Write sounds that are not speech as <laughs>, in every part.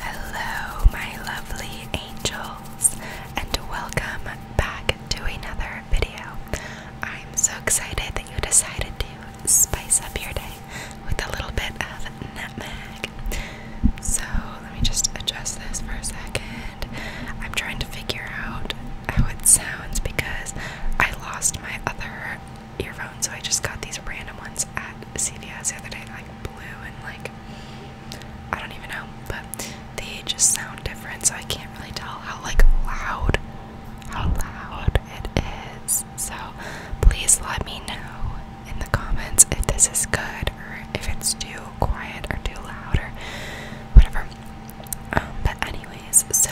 Hello, my lovely angels, and welcome back to another video. I'm so excited that you decided to spice up your day with a little bit of nutmeg. So, let me just adjust this for a second. I'm trying to figure out how it sounds because I lost my other earphones, so I just got these random ones at CVS the other day, like blue and like I don't even know, but they just sound different, so I can't really tell how like loud how loud it is. So please let me know in the comments if this is good or if it's too quiet or too loud or whatever. Um, but anyways, so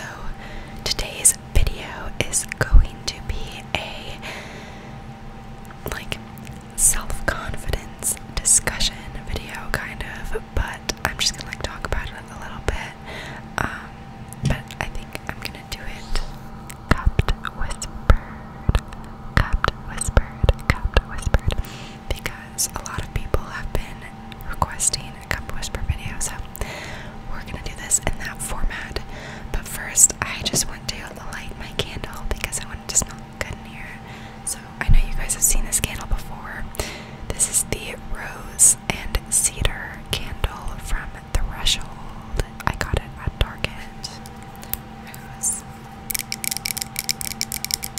today's video is going to be a like self-confidence discussion video kind of, but I'm just gonna like talk about it a little bit. Um, but I think I'm gonna do it cupped whispered, cupped whispered, cupped whispered because a lot of people have been requesting a cup whisper video, so we're gonna do this in that format. But first, I just want to light my candle because I want it to smell good in here. So I know you guys have seen this candle before. This is the rose and cedar candle from Threshold. I got it at Target.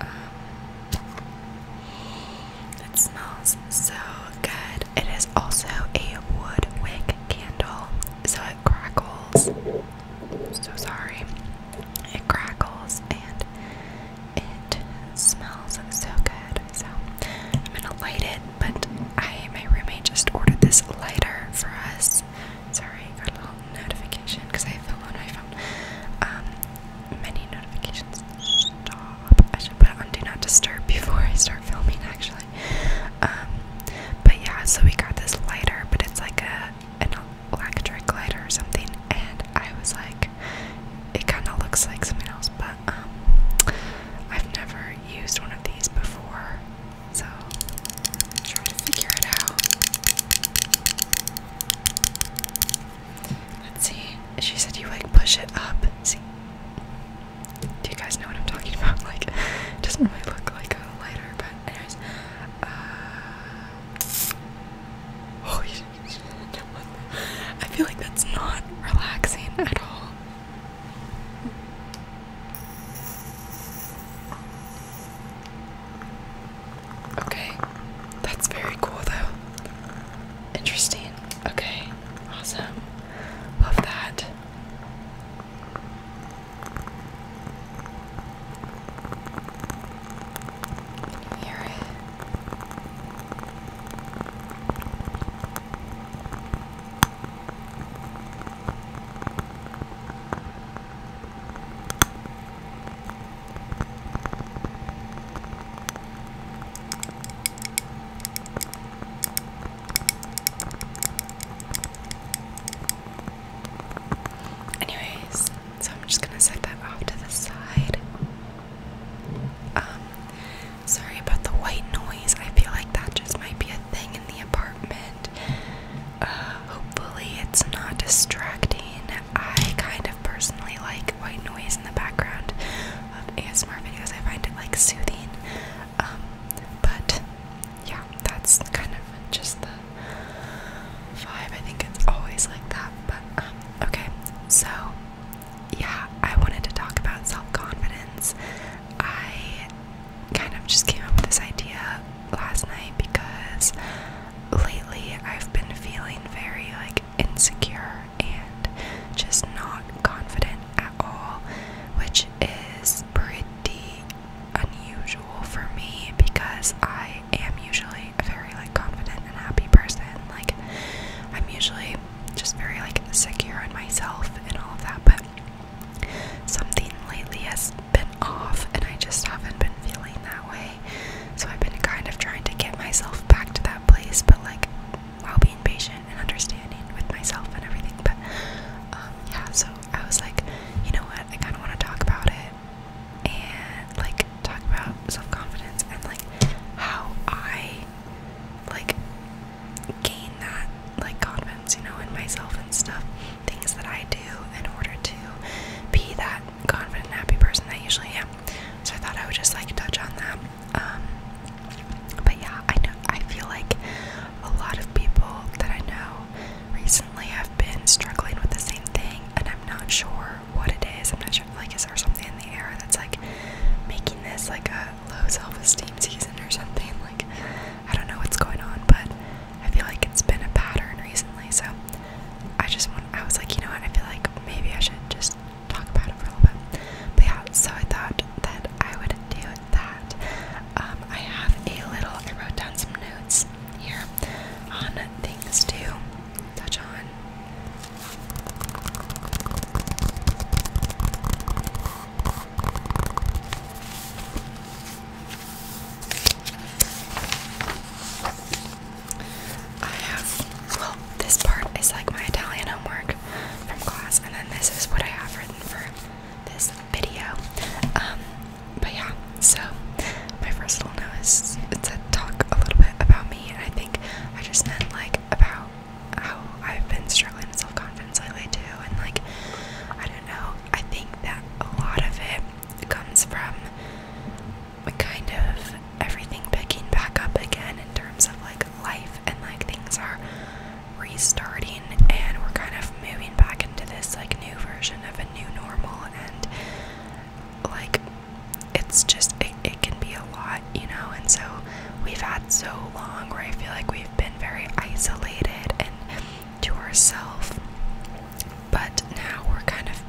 Um, it smells so good. It is also a wood wick candle, so it crackles. So sorry. It crackles and it smells so good. So I'm gonna light it, but I my roommate just ordered this lighter for us. Sorry, notification because I film on my many notifications. Stop. I should put on do not disturb before I start filming, actually. Um, but yeah, so we got this lighter, but it's like a an electric lighter or something, and I was like, it kind of looks like something else, but um, I've never used one of these before, so try to figure it out. Let's see. She said you like push it up. See? Do you guys know what I'm talking <laughs> about? Like, it doesn't really look like a lighter, but anyways. Uh, oh, <laughs> I feel like that's not relaxing at all. Okay. That's very cool though. Interesting. Okay. Awesome. Love that. Can you hear it? Anyways, so I'm just gonna set that off to the side. Um, sorry about the white noise. I feel like that just might be a thing in the apartment. Uh, Hopefully, it's not distracting. I kind of personally like white noise in the background of ASMR videos, I find it like soothing. Um, but yeah, that's kind of just the vibe. I think it's always like that. But um, okay, so yeah, I wanted to talk about self confidence. I kind of just came up with this idea last night because lately I've been feeling very like insecure and just not confident at all, which is pretty unusual for me because I am usually a very like confident and happy person. Like I'm usually just very like secure in myself and all of that, but something lately has been off and I just haven't been feeling that way so I've been kind of trying to get myself back to that place, but like while being patient and understanding with myself and everything. But um, yeah, so I was like, you know what? I kind of want to talk about it and like talk about self confidence and like how I like gain that like confidence, you know, in myself and stuff. Things that I do in order to be that confident, happy person that I usually am. So I thought I would just like touch on that. Um, but yeah, I know I feel like a lot of people that I know recently have been struggling with the same thing, and I'm not sure what it is. I'm not sure, like, is there something in the air that's like making this like a low self esteem season or something? Like, I don't know what's going on, but I feel like it's been a pattern recently. So I just want, I was like, you know what, I feel like maybe I should just talk about it for a little bit. But yeah, so I thought that I would do that. Um, I have a little, I wrote down some notes here on things to touch on. I have, well, this part is like my Italian homework from class, and then this is what I have written for this video. Um, but yeah, so my first little note is to talk a little bit about me, and I think I just meant like about how I've been struggling with self confidence lately too, and like I don't know, I think that a lot of it comes from kind of everything picking back up again in terms of like life and like things are restarting and we're kind of moving back into this like new version of a new normal and like it's just it, it can be a lot you know and so we've had so long where i feel like we've been very isolated and to ourselves but now we're kind of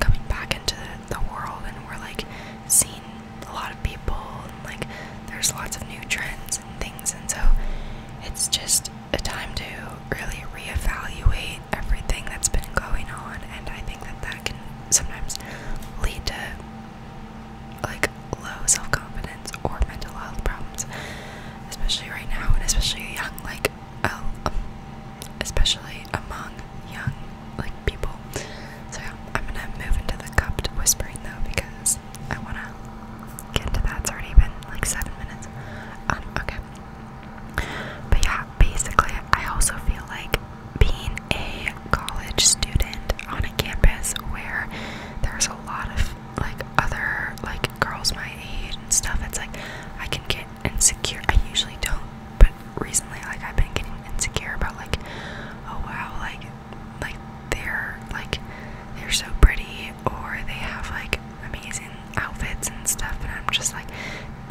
coming back into the, world and we're like seeing a lot of people and like there's lots of new trends and things and so it's just a time to really reevaluate everything that's been going on and I think that that can sometimes lead to like low self-confidence or mental health problems especially right now and especially young like oh, um, especially among young like people. So I'm gonna move into the cupped whispering though because I wanna get into that. It's already been like seven minutes. Um, okay. But yeah, basically, I also feel like being a college student on a campus where there's a lot of like other like girls my age and stuff. It's like I can get insecure. I usually don't, but recently, like I've been getting insecure about like, oh wow, like, like they're like they're so pretty, or they have like amazing outfits and stuff. And I'm just like,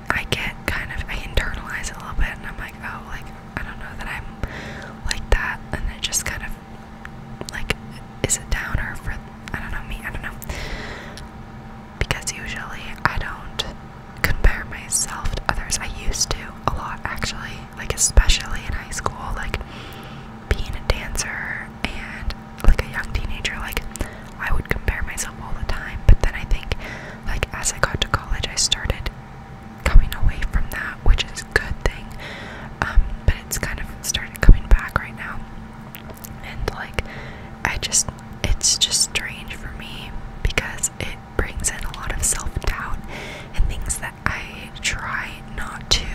I get kind of I internalize it a little bit, and I'm like, oh, like I don't know that I'm like that, and it just kind of like is a downer for I don't know me. I don't know because usually I don't compare myself to others. I used to a lot actually, like especially in high school, like being a dancer and like a young teenager, like I would compare myself all the time. But then I think like as I got to college I started coming away from that, which is a good thing. Um, but it's kind of started coming back right now. And like, I just, it's just strange for me because it brings in a lot of self doubt and things that I try not to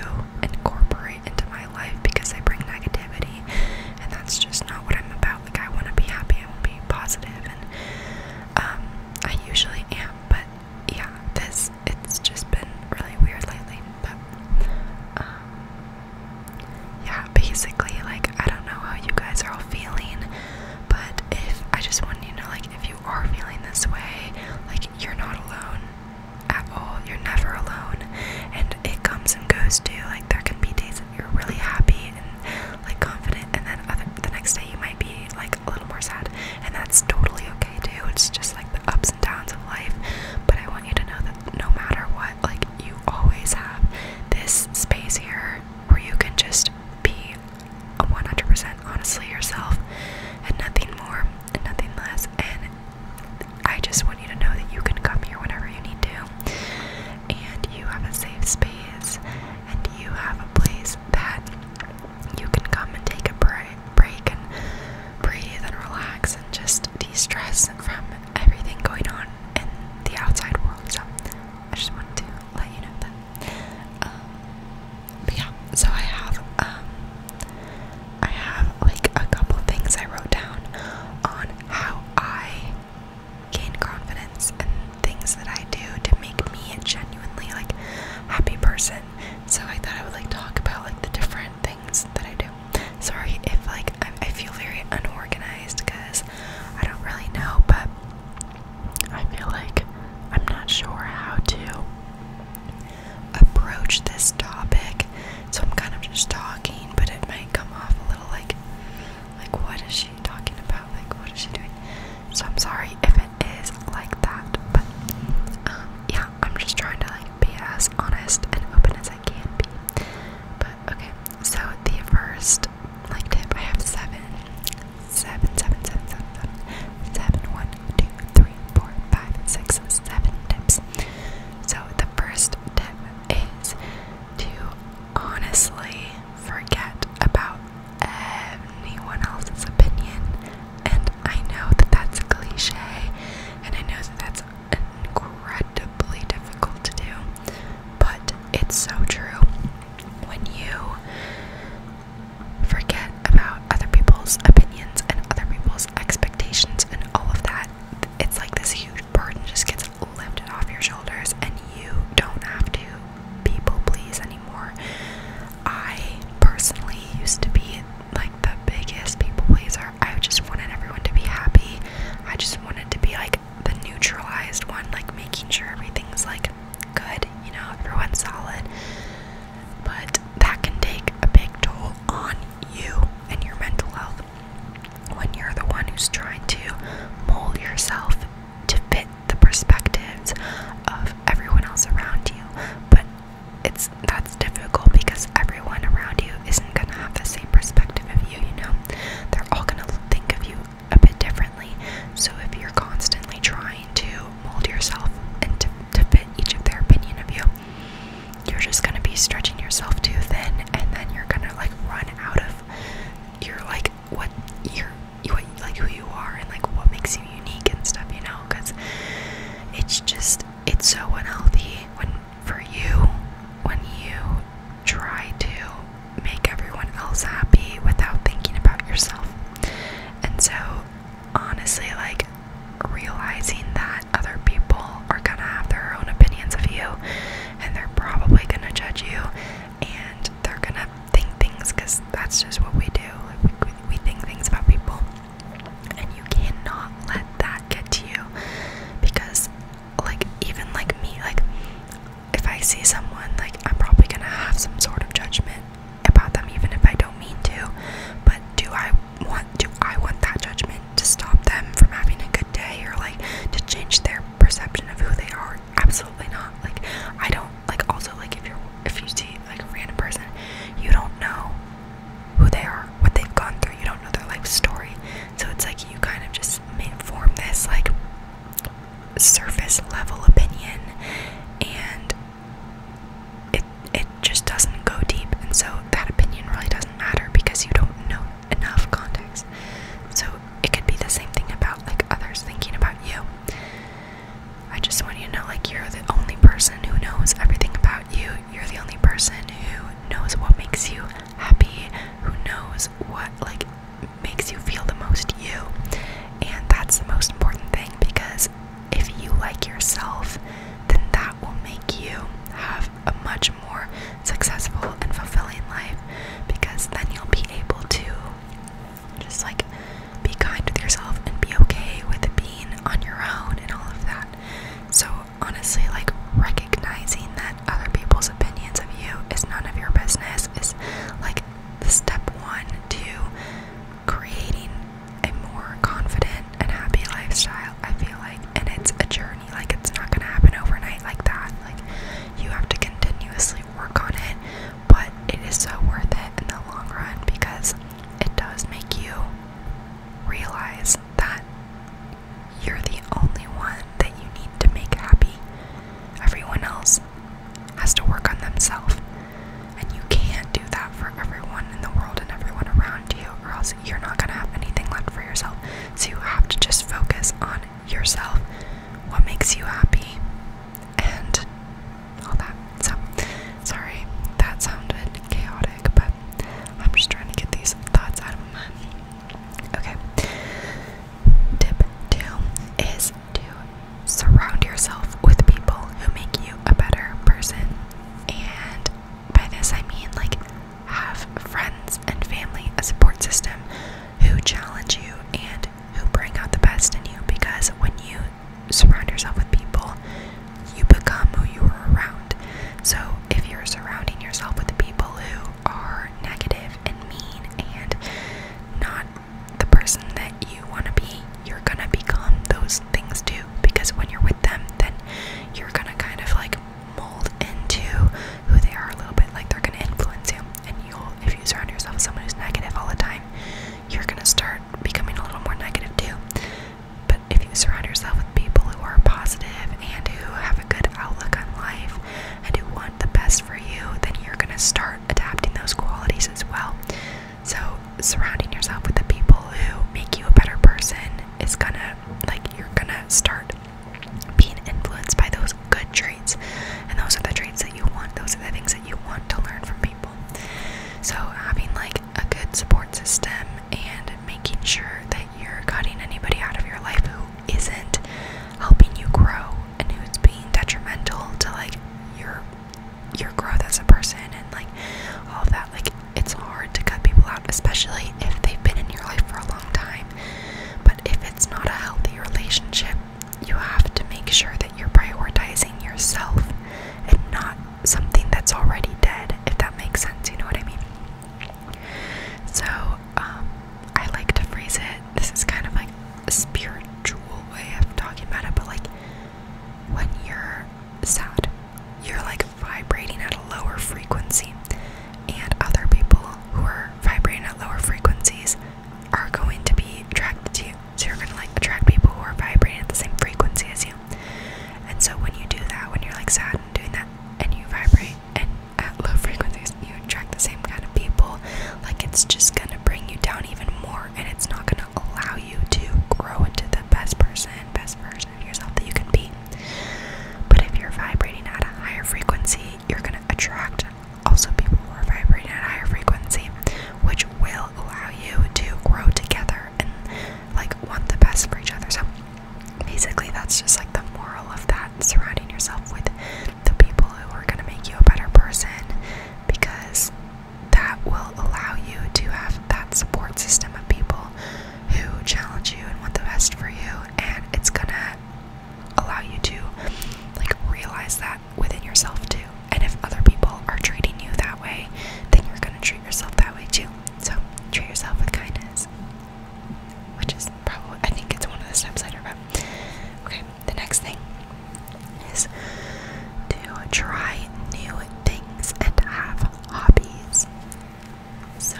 incorporate into my life because they bring negativity. And that's just not what I'm about. Like, I want to be happy, I want to be positive, and um, I usually am, but yeah, this, it's just been really weird lately. But, um, yeah, basically, like, I don't know how you guys are all feeling, but if I just want you to know, like, if you are feeling this way, like, you're not alone at all. You're never alone. And it comes and goes too. Like, there can be days that you're really happy and, like, confident, and then other, the next day you might be, like, a little more sad. And that's totally okay too. It's just like the ups and downs of life. But I want you to know that no matter what, like you always have this space here where you can just be 100% honestly yourself and nothing more and nothing less. And I just want you to know that you can come here whenever you need to, and you have a safe space, and you have a place that you can come and take a break and breathe and relax and just de stress from everything going on in the outside world. So I just wanted to let you know that. Um, but yeah, so I have um, I have like a couple things I wrote down on how I gain confidence and things that I do to make me a genuinely like happy person. So I thought I would like talk about like the different things that I do. Sorry if like I, feel very unorganized because I don't really know, but I feel like I'm not sure how to approach this topic. So I'm kind of just talking, but it might come off a little like like what is she talking about? Like what is she doing? So I'm sorry if it is like that, but um, yeah, I'm just trying to like be as honest and open as I can be. But okay, so the first tip I have seven, seven, seven, seven, seven, seven, seven, one, two, three, four, five, six, seven tips. So the first tip is to honestly forget about anyone else's opinion. And I know that that's cliche, and I know that that's incredible incredibly difficult to do, but it's so true. When you forget about other people's opinions and other people's expectations and all of that, it's like this huge burden just gets lifted off your shoulders, and you don't have to people please anymore. I personally used to be like the biggest people pleaser I just wanted everyone to be happy. I just wanted to be like the neutralized one, like making sure everything's like good, you know, everyone's solid. But that can take a big toll on you and your mental health when you're the one who's trying to mold yourself to fit the perspectives of everyone else around you. But it's that it's difficult because everyone around you isn't going to have the same perspective of you, you know? They're all going to think of you a bit differently. So if you're constantly trying to mold yourself and to, to fit each of their opinion of you, you're just going to be stretching yourself too thin and then you're going to like run out of your like what you're you, what, like who you are and like what makes you unique and stuff, you know? Because it's just it's so unhealthy when for you when you try to make everyone else happy without thinking about yourself. And so, honestly, like realizing that other people are gonna have their own opinions of you and they're probably gonna judge you and they're gonna think things because that's just what we do. Like, we, we think things about people, and you cannot let that get to you because like even like me like if I see someone like I'm probably gonna have some sort of judgment about them even if I don't mean to but do I want do I want that judgment to stop them from having a good day or like to change their perception of who they are absolutely not like I don't like also like if you're if you see like a random person you don't know who they are, what they've gone through. You don't know their life story. So it's like you kind of just form this like surface level opinion and it it just doesn't go deep and so that opinion really doesn't matter because you don't know enough context. So it could be the same thing about like others thinking about you. I just want you to know like you're the only person who knows everything about you. You're the only person who knows what makes you happy, who knows what like makes you feel the most you. And that's the most important thing because if you like yourself, then that will make you have a much more successful and fulfilling life because then you'll be able to just like be kind with yourself and be okay with being on your own and all of that. So honestly, like recognizing that other people's opinions of you is none of your business is like the step one to creating a more confident and happy lifestyle. I feel like, and it's a journey, like, it's not gonna happen overnight like that. Like, you have to continuously work on it, but it is so worth it in the long run because it does make you realize that you're the only one that you need to make happy. Everyone else has to work on themselves. And you can't do that for everyone in the world and everyone around you, or else you're not going to have anything left for yourself. So you have to just focus on yourself, what makes you happy, and all that. So, sorry, that sounded chaotic. I'm just trying to get these thoughts out of my mind. Okay. Tip two is to surround yourself with people who make you a better person. And by this I mean like have friends and family, a support system who challenge you and who bring out the best in you because when you surround yourself with people you become who you are around. So if you're surrounding yourself with people who are negative and mean and not the person that you want to be, you're gonna become those things too. Because when you're with them, then you're gonna kind of like mold into who they are a little bit. Like they're gonna influence you. And you'll, if you surround yourself with someone who's negative all the time, you're gonna start becoming a little more negative too. But if you surround yourself with people who are positive and who have a good outlook on life and who want the best for you, then you're going to start adapting those qualities as well. So, surrounding yourself with the people who make you a better person is going to, like, you're going to start being influenced by those good traits. And those are the traits that you want, those are the things that you want to learn from people. So, having like a good support system and making sure that you're cutting anybody out of your life who isn't helping you grow and who's being detrimental to like your your growth as a person and like all that like it's hard to cut people out especially if they've been in your life for a long time but if it's not a healthy relationship you have to make sure that you're prioritizing yourself and not something that's already dead, if that makes sense, you know what I mean? So, um, I like to phrase it. This is kind of like a spiritual way of talking about it, but like when you're sad, you're like vibrating at a lower frequency, and other people who are vibrating at lower frequencies are going to be attracted to you. So, you're going to like attract people who are vibrating at the same frequency as you. And so when you do that, when you're like sad and doing that, and you vibrate and at low frequencies, you attract the same kind of people. Like it's just gonna bring you down even more, and it's not gonna allow you to grow into the best person, best version of yourself that you can be. But if you're vibrating at a higher frequency, you're gonna attract also people who are vibrating at a higher frequency, which will allow you to grow together and like want the best for each other. So basically that's just like the moral of that surrounding yourself with the people who are going to make you a better person because that will allow you to have that support system of people who challenge you and want the best for you and it's going to allow you to like realize that within yourself too and if other people are treating you that way then you're going to yourself that way too. So treat yourself with kindness, which is probably I think it's one of the steps later. But okay, the next thing is to try new things and have hobbies. So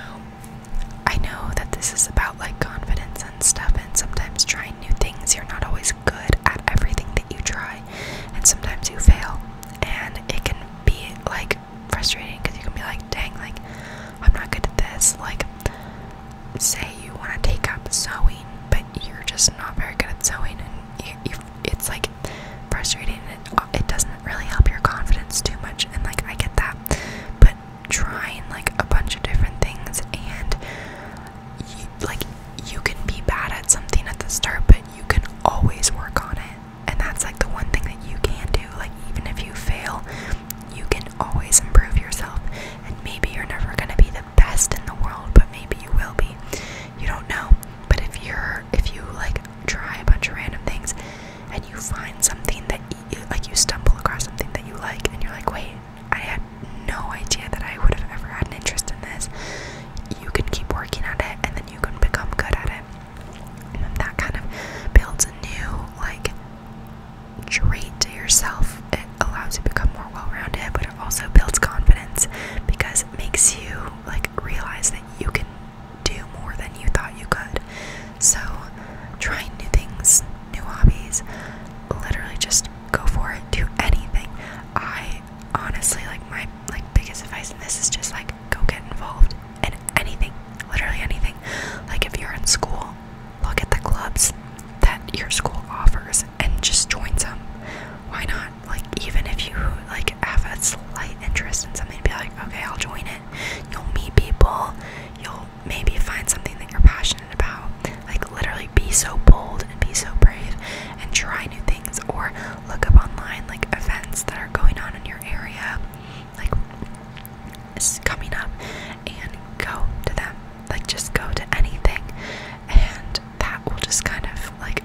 I know that this is about like confidence and stuff, and sometimes trying new things, you're not always good at everything that you try, and sometimes you fail, and it can be like frustrating because you can be like, dang, like, I'm not good at this. Like, say you want to take up sewing, but you're just not very good at sewing, and you, it's like frustrating, and it, it doesn't really help your confidence too much. And like, I get that, but trying like a bunch of different things, and you, like, you can be bad at something at the start, but you can always work on it. And that's like the one thing that you can do. Like, even if you fail, you can always improve yourself. And maybe you're never going to be the best in the world, but maybe you will be. You don't know. But if you're, if you like try a bunch of random things and you find something that you, like you stumble across something that you like and you're like, wait, I had no idea that I would have ever had an interest in this. You can keep working at it and then you can become good at it. And that kind of builds a new, like, trait to yourself. It allows you to become more well rounded, but it also builds confidence because it makes you, like, realize that you can do more than you thought you could. So, trying new things, new hobbies, literally just go for it, do anything. I honestly like my like biggest advice in this is just like go get involved in anything, literally anything. Like if you're in school, look at the clubs that your school offers and just join some. Why not? Like even if you like have a slight interest in something, be like, okay, I'll join it. You'll meet people. You'll maybe find something that you're passionate about. Like literally, be so bold and be so brave and try new things, or look up online like events that are going on in your area, like is coming up, and go to them. Like just go to anything, and that will just kind of like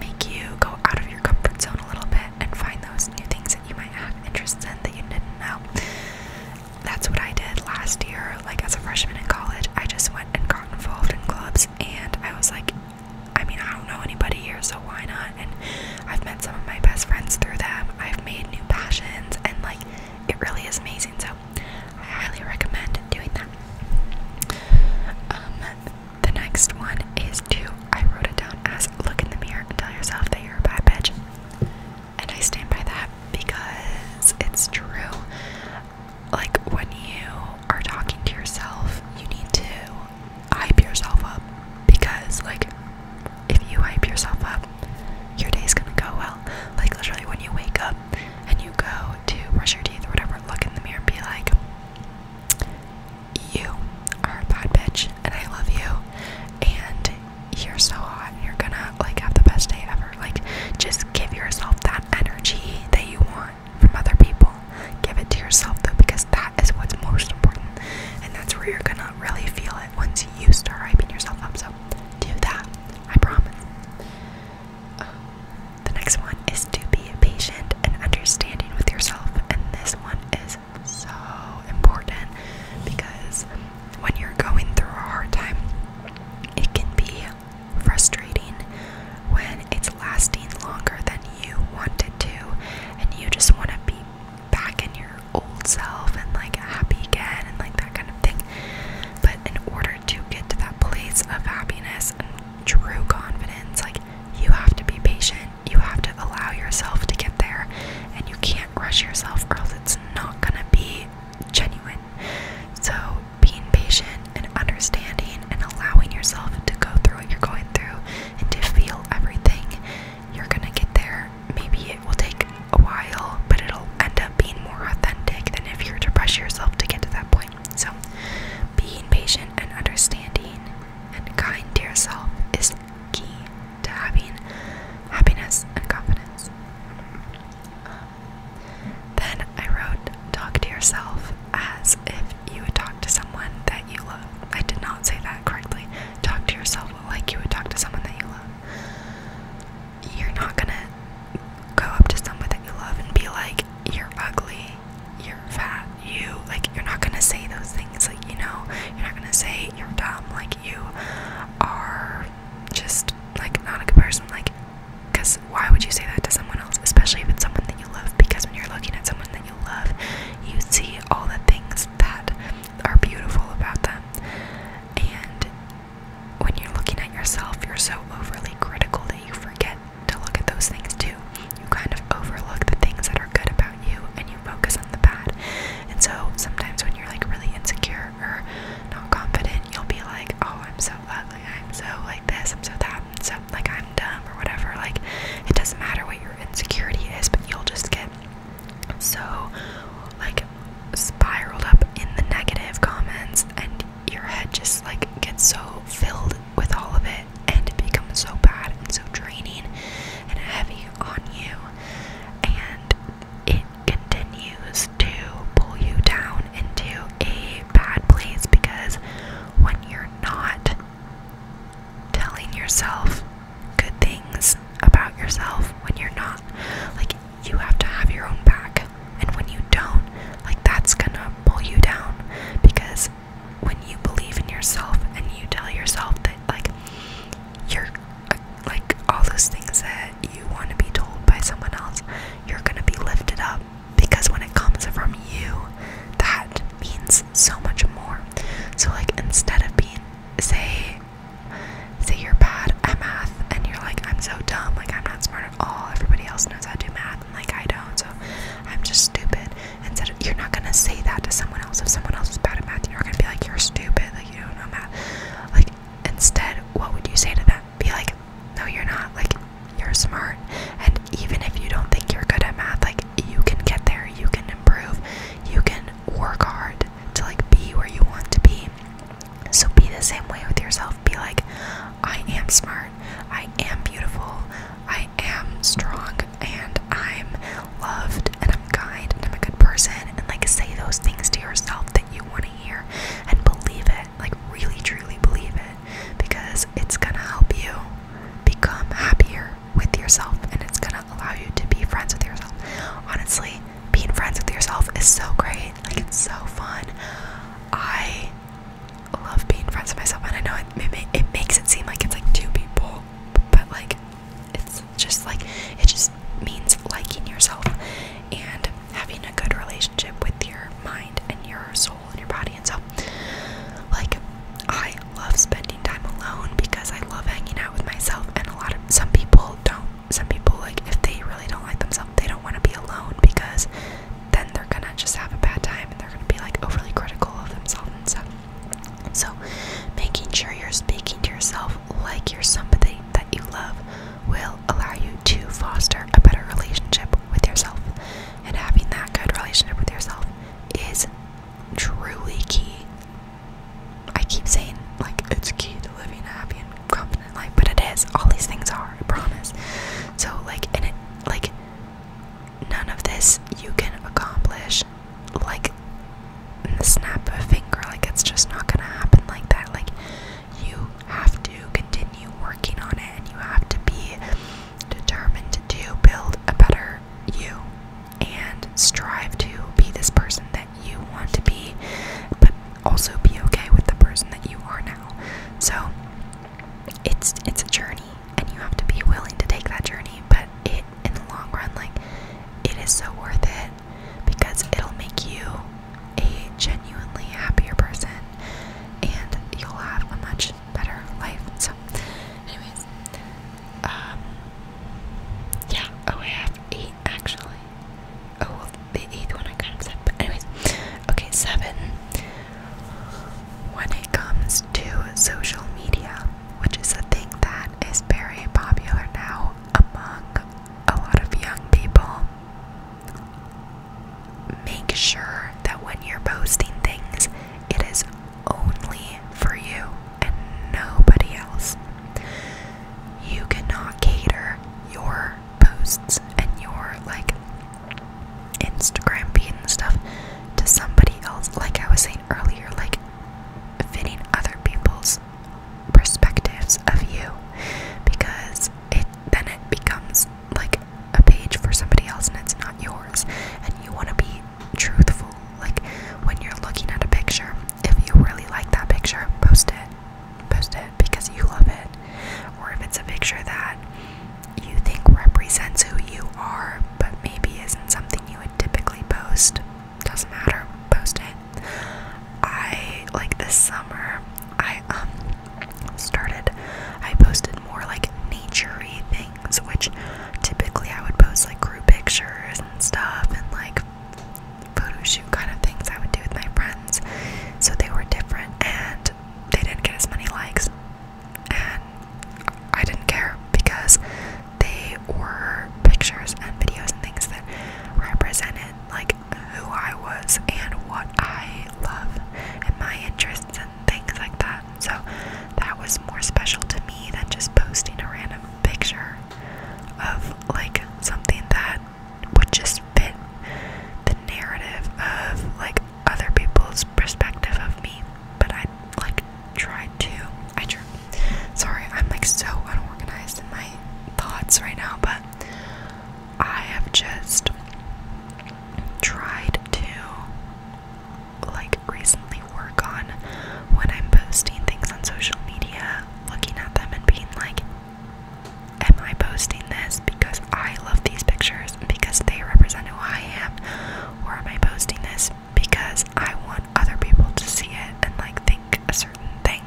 make you go out of your comfort zone a little bit and find those new things that you might have interests in that you didn't know. That's what I did last year, like as a freshman in college. I just went and got involved in clubs, and I was like I mean, I don't know anybody here, so why not? And I've met some of my best friends through them. I've made new passions, and like, it really is amazing. So, I highly recommend doing that. Um, the next one is to, I wrote it down as look in the mirror and tell yourself that you're a bad bitch. And I stand by that because it's true. Like, when you are talking to yourself, you need to hype yourself up because like if you hype yourself up your day's gonna go well like literally when you wake up and you go to brush your teeth or whatever look in the mirror and be like you are a bad bitch and i love you and you're so hot and you're gonna like have the best day ever like just give yourself that energy that you want from other people. Give it to yourself though, because that is what's most important. And that's where you're gonna really feel it once you start hyping yourself up. So do that. I promise. the next one is to be patient and understanding with yourself. And this one is so important because when you're going through a hard time, it can be frustrating when it's lasting longer than you wanted to, and you just want to be back in your old self and like happy again and like that kind of thing. But in order to get to that place of happiness and true confidence, like you have to be patient, you have to allow yourself to get there, and you can't rush yourself, or else it's not gonna be genuine. So, being patient and understanding and allowing yourself to go through what you're going through and to feel everything, you're gonna get there. Maybe it will take a while, but it'll end up being more authentic than if you are to pressure yourself to get to that point. So, being patient and understanding and kind to yourself is key to having happiness and confidence. then I wrote, talk to yourself as if you would talk to someone that you love. I did not say that correctly. Talk to yourself like you would talk to someone that you love. You're not gonna go up to someone that you love and be like, you're ugly, you're fat, you like you're not gonna say those things like you know, you're not gonna say you're dumb, like you are just like not a good person, like because why would you say that to someone else, especially if it's someone that you love? Because when you're looking at someone that you you love, you see all the things that are beautiful about them. And when you're looking at yourself, you're so overly critical that you forget to look at those things too. You kind of overlook the things that are good about you and you focus on the bad. And so sometimes when you're like really insecure or not confident, you'll be like, oh, I'm so ugly, I'm so like this, I'm so that so like I'm dumb or whatever. Like it doesn't matter what your insecurity is, but you'll just get so like spiraled up in the negative comments and your head just like gets so filled with all of it and it becomes so bad and so draining and heavy on you and it continues to pull you down into a bad place because when you're not telling yourself good things about yourself when you're not. Like, you have to have your own back. And when you don't, like, that's gonna pull you down. Because when you believe in yourself and you tell yourself that, like, you're, like, all those things that you want to be told by someone else, you're gonna be lifted up because when it comes from you, that means so much more. So like instead of being say say you're bad at math and you're like I'm so dumb, like I'm not smart at all. Everybody else knows how to do math and like I don't, so I'm just stupid. Instead of, you're not gonna say that to someone else. If someone else is bad at math, you're gonna be like you're stupid, like you don't know math. Like instead, what would you say to them? Be like, no, you're not. Like you're smart and even if you don't think you're good at math like you can get there you can improve you can work hard to like be where you want to be so be the same way with yourself be like i am smart i am beautiful i am strong and i'm loved and i'm kind and i'm a good person and like say those things to yourself that you want to hear and believe it like really truly believe it because it's gonna help you become happier with yourself and it's gonna allow you to be friends with yourself. Honestly, being friends with yourself is so great, like, it's so fun. I love being friends with myself, and I know it, it, makes it seem like it's like two people, but like, it's just like it just means liking yourself and having a good relationship with your mind and your soul in your body. And so, like, I love spending time alone because I love hanging out with myself. And a lot of some people don't. Some people, like, if they really don't like themselves, they don't want to be alone because then they're gonna just have a bad time and they're gonna be like overly critical of themselves and stuff. So, making sure you're speaking to yourself like your are somebody that you love will allow you to foster a better relationship with yourself and having that good relationship with yourself is truly key. I keep saying, like, it's key to living a happy and confident life, but it is. All these things are, I promise. So, like, and it, like, none of this you can accomplish, like, in the snap of a finger. Like, it's just not gonna happen like that. Like, you have to continue working on it, and you have to be determined to build a better you and strive to be this person that you want to be, but also be okay with the person that you are now. So it's it's a journey and you have to be willing to take that journey, but it in the long run like it is so worth it because it'll make you a genuinely happier person and you'll have a much better life. So, anyways, um, yeah. Oh, I have eight actually. Oh, the eighth one I kind of but anyways, okay, seven. When it comes to social media, which is a thing that is very popular now among a lot of young people make sure that when you're posting things, it is only for you and nobody else. You cannot cater your posts and your like Instagram feed and stuff to somebody else, like I was saying earlier, like fitting other people's perspectives of you because it then it becomes like a page for somebody else and it's not yours and you want to be truthful like when you're looking at a picture if you really like that picture post it post it because you love it or if it's a picture that you think represents who you are but maybe isn't something you would typically post doesn't matter post it i like this summer i um started, I posted more like naturey things, which typically I would post like group pictures and stuff and like photo shoot kind of things I would do with my friends. So they were different and they didn't get as many likes. And I didn't care because they were pictures and videos and things that represented like who I was and what I love and my interests things like that. So that was more special to me than just posting a random picture of like something that would just fit the narrative of like other people's perspective of me. But I like tried to. I tr Sorry, I'm like so unorganized in my thoughts right now, but I have just tried to like recently work on when I'm posting things on social media, looking at them and being like, Am I posting this because I love these pictures because they represent who I am? Or am I posting this because I want other people to see it and like think a certain thing?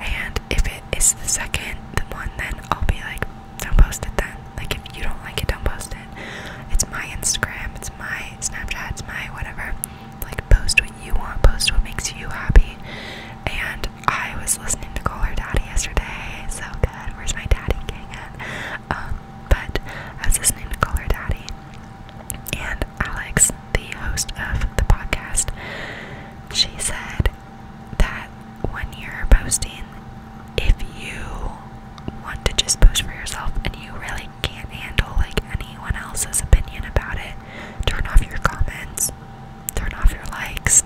And if it is the second, the one, then I'll be like, don't post it then. Like, if you don't like it, don't post it. It's my Instagram, it's my Snapchat, it's my whatever. Like, post what you want, post what makes you happy. And I was listening to Call Her Daddy yesterday. So good. Where's my daddy gang Um, but I was listening to Call Her Daddy. And Alex, the host of the podcast, she said, that when you're posting, if you want to just post for yourself and you really can't handle like anyone else's opinion about it, turn off your comments, turn off your likes,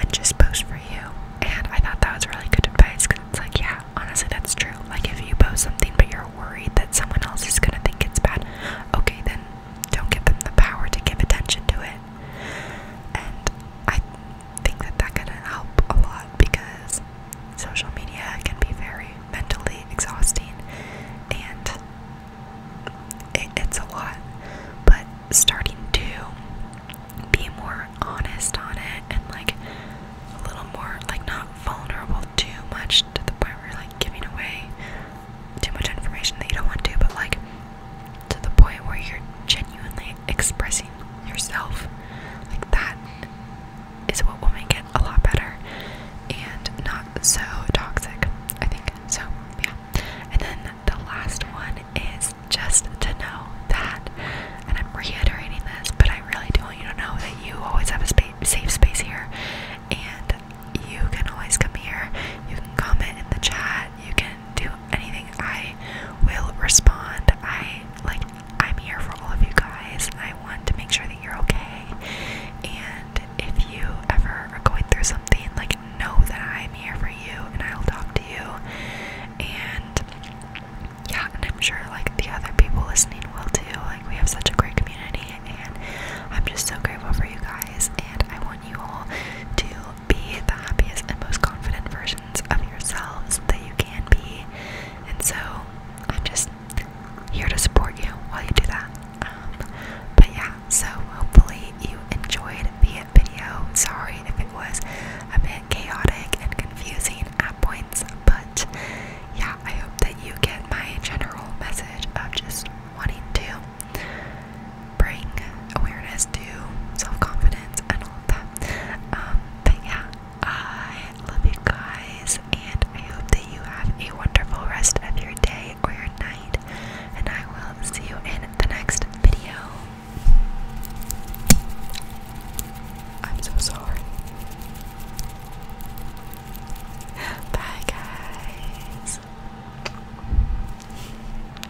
and just post for you. And I thought that was really good advice because it's like, yeah, honestly, that's true. Like, if you post something but you're worried that someone else is gonna think it's bad, okay, then don't give them the power to give attention to it. And I think that that can help a lot because social media can be very mentally exhausting and it's a lot. But starting to be more honest on it and like a little more, like, not vulnerable too much to the point where you're like giving away too much information that you don't want to, but like to the point where you're genuinely expressing yourself like that is what will make it a lot better and not so toxic i think so yeah and then the last one is just to know that and i'm reiterating this but i really do want you to know that you always have a safe space here and you can always come here you can comment in the chat you can do anything, I will respond. I like I'm here for all of you guys. I want to make sure that you're okay. And if you ever are going through something, like know that I'm here for you and I'll talk to you. And yeah, and I'm sure like the other people listening will too. Like we have such a great community and I'm just so grateful for you guys and I want you all to be the happiest and most confident version of yourselves that you can be. And so I'm just here to support you while you do that. Um, but yeah, so hopefully you enjoyed the video. Sorry if it was a bit chaotic and confusing at points, but yeah, I hope that you get my general message of just wanting to bring awareness to self-confidence and all of that. Um, but yeah, I love you guys, and I hope that you have a wonderful rest of your day or your night, and I will see you in the next video. I'm so sorry. <gasps> Bye, guys.